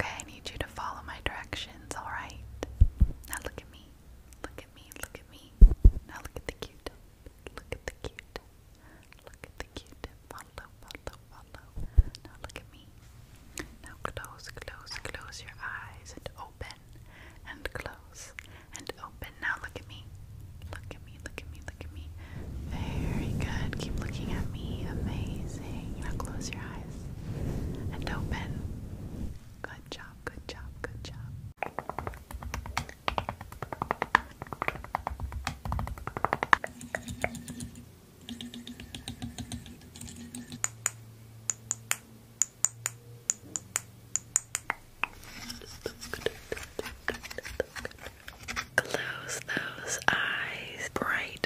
Okay, I need you to follow my directions, alright? Now look at me. Look at me, look at me. Now look at the q Look at the q Look at the q Follow, follow, follow. Now look at me. Now close, close, close your eyes and open and close and open. Now look at me. Look at me, look at me, look at me. Very good. Keep looking at me. Amazing. Now close your eyes and open. Good job, good job, good job. Close those eyes bright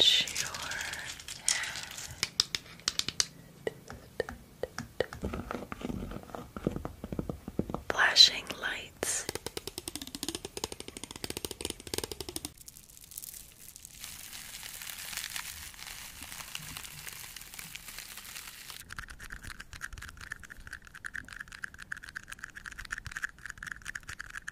Scratch your head. Flashing lights.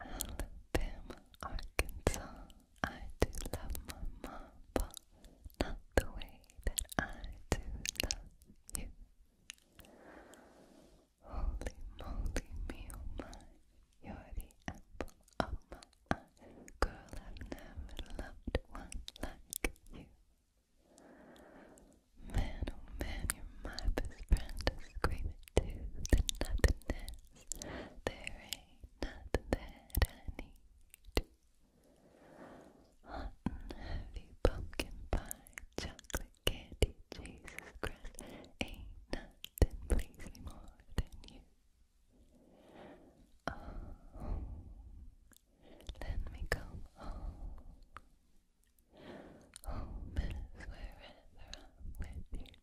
Alabama, Arkansas. I do love my mom, but not the way that I do love you. Holy moly, me oh my, you're the apple of my eye. Girl, I've never loved one like you. Man, oh man, you're my best friend. I to the nothing this. There ain't nothing that I need. Hot and heavy pumpkin pie, chocolate candy, Jesus Christ, ain't nothing please me more than you. Oh, let me come home. Home is wherever I'm with you.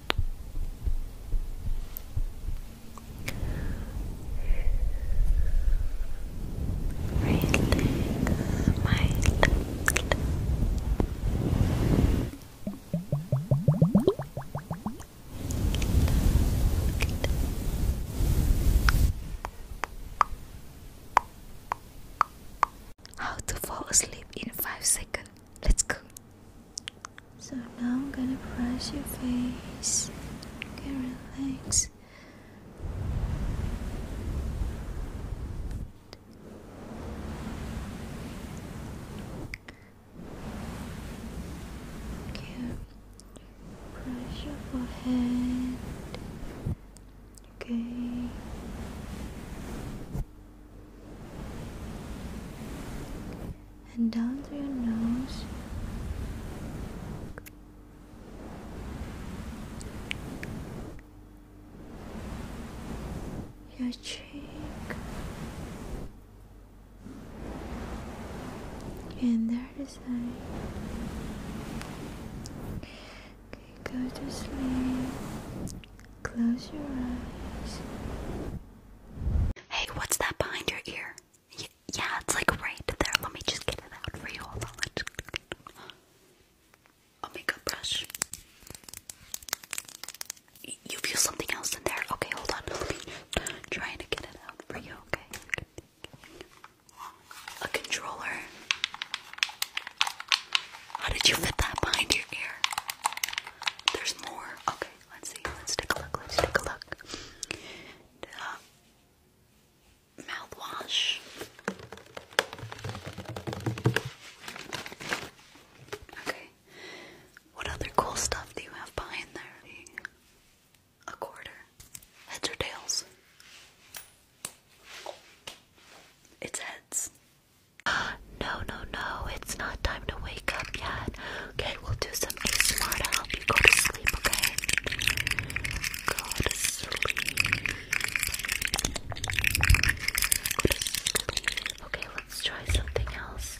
Relax, my How to fall asleep in 5 seconds. Let's go. So now I'm gonna press your face. Okay, relax. Okay, press your forehead. Okay and down through your nose. Your cheek, and there is I. Okay, go to sleep. Close your eyes. Hey, what's that behind your ear? Yeah, it's like right there. Let me just get it out for you. Hold on. let A makeup brush. You feel something else in there? Okay, hold on. Let me to get it out for you. Okay. A controller. How did you fit that behind your ear? There's more. Okay let's see. Let's take a look. Let's take a look. mouthwash. Okay. What other cool stuff do you have behind there? A quarter. Heads or tails? It's heads. No, no, no. It's not time to wake up yet. Okay, we'll do some some ASMR to help you go to sleep, okay? Go to sleep. Okay, let's try something else.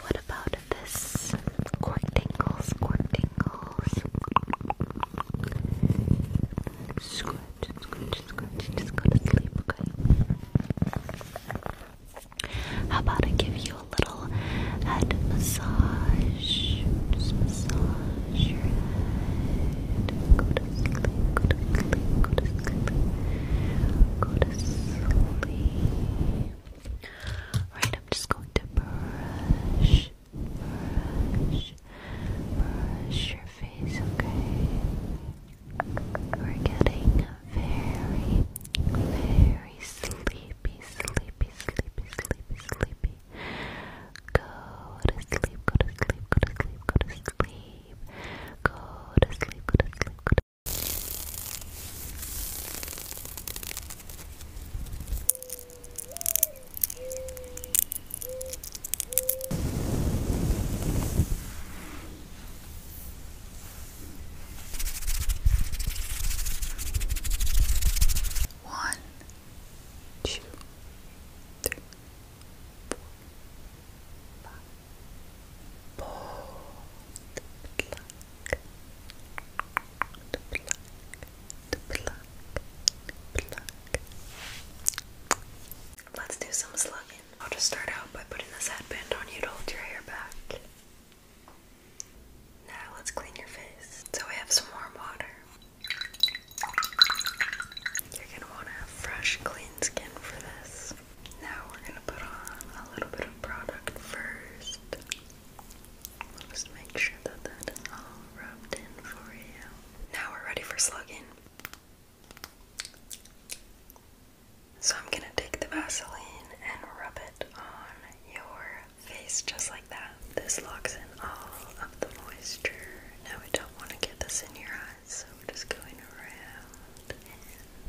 What about this? Court tingles, court tingles. Just go to sleep, okay? How about I give you a little head massage? Just massage your head. Go I'm just going to brush, brush, brush your face, okay? We're getting very, very very sleepy, sleepy, sleepy, sleepy, sleepy. Go to sleep, go to sleep, go to sleep, go to sleep. Go to sleep, go to sleep, go to sleep. One, two, three, four, five. Let's do some slugging. I'll just start out by putting this headband on you to hold your hair back. Now let's clean your face. So we have some warm water. You're gonna want to have fresh, clean skin for this. Now we're gonna put on a little bit of product 1st just make sure that that is all rubbed in for you. Now we're ready for slugging. So I'm gonna take the Vaseline and rub it on your face just like that. This locks in all of the moisture. Now we don't want to get this in your eyes, so we're just going around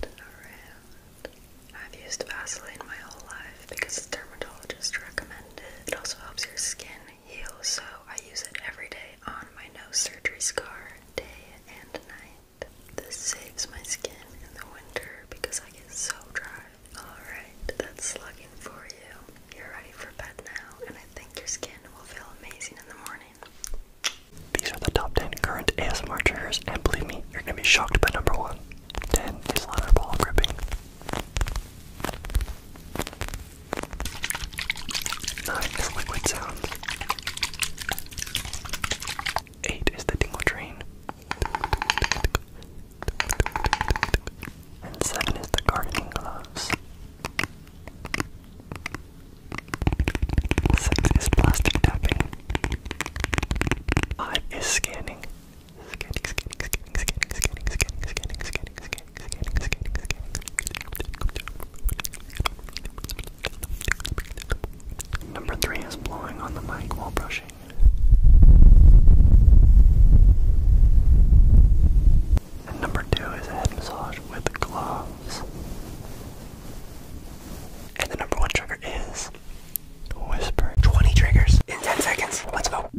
and around. I've used Vaseline my whole life because it's dermatologist recommended. it. It also helps your skin heal, so I use it every day on my nose surgery scar, day and night. This saves my skin in the winter because I get so dry Alright, that's slugging for you. You're ready for bed now, and I think your skin will feel amazing in the morning. These are the top 10 current ASMR triggers, and believe me, you're gonna be shocked by number 1. 10 is leather ball gripping. 9 is liquid sounds. Eight is the dingo Train. And seven is the Gardening Gloves. Six is Plastic Tapping. Five is Scanning. scanning. Number three is blowing on the mic while brushing. And number two is a head massage with gloves. And the number one trigger is whisper. 20 triggers in 10 seconds. Let's go.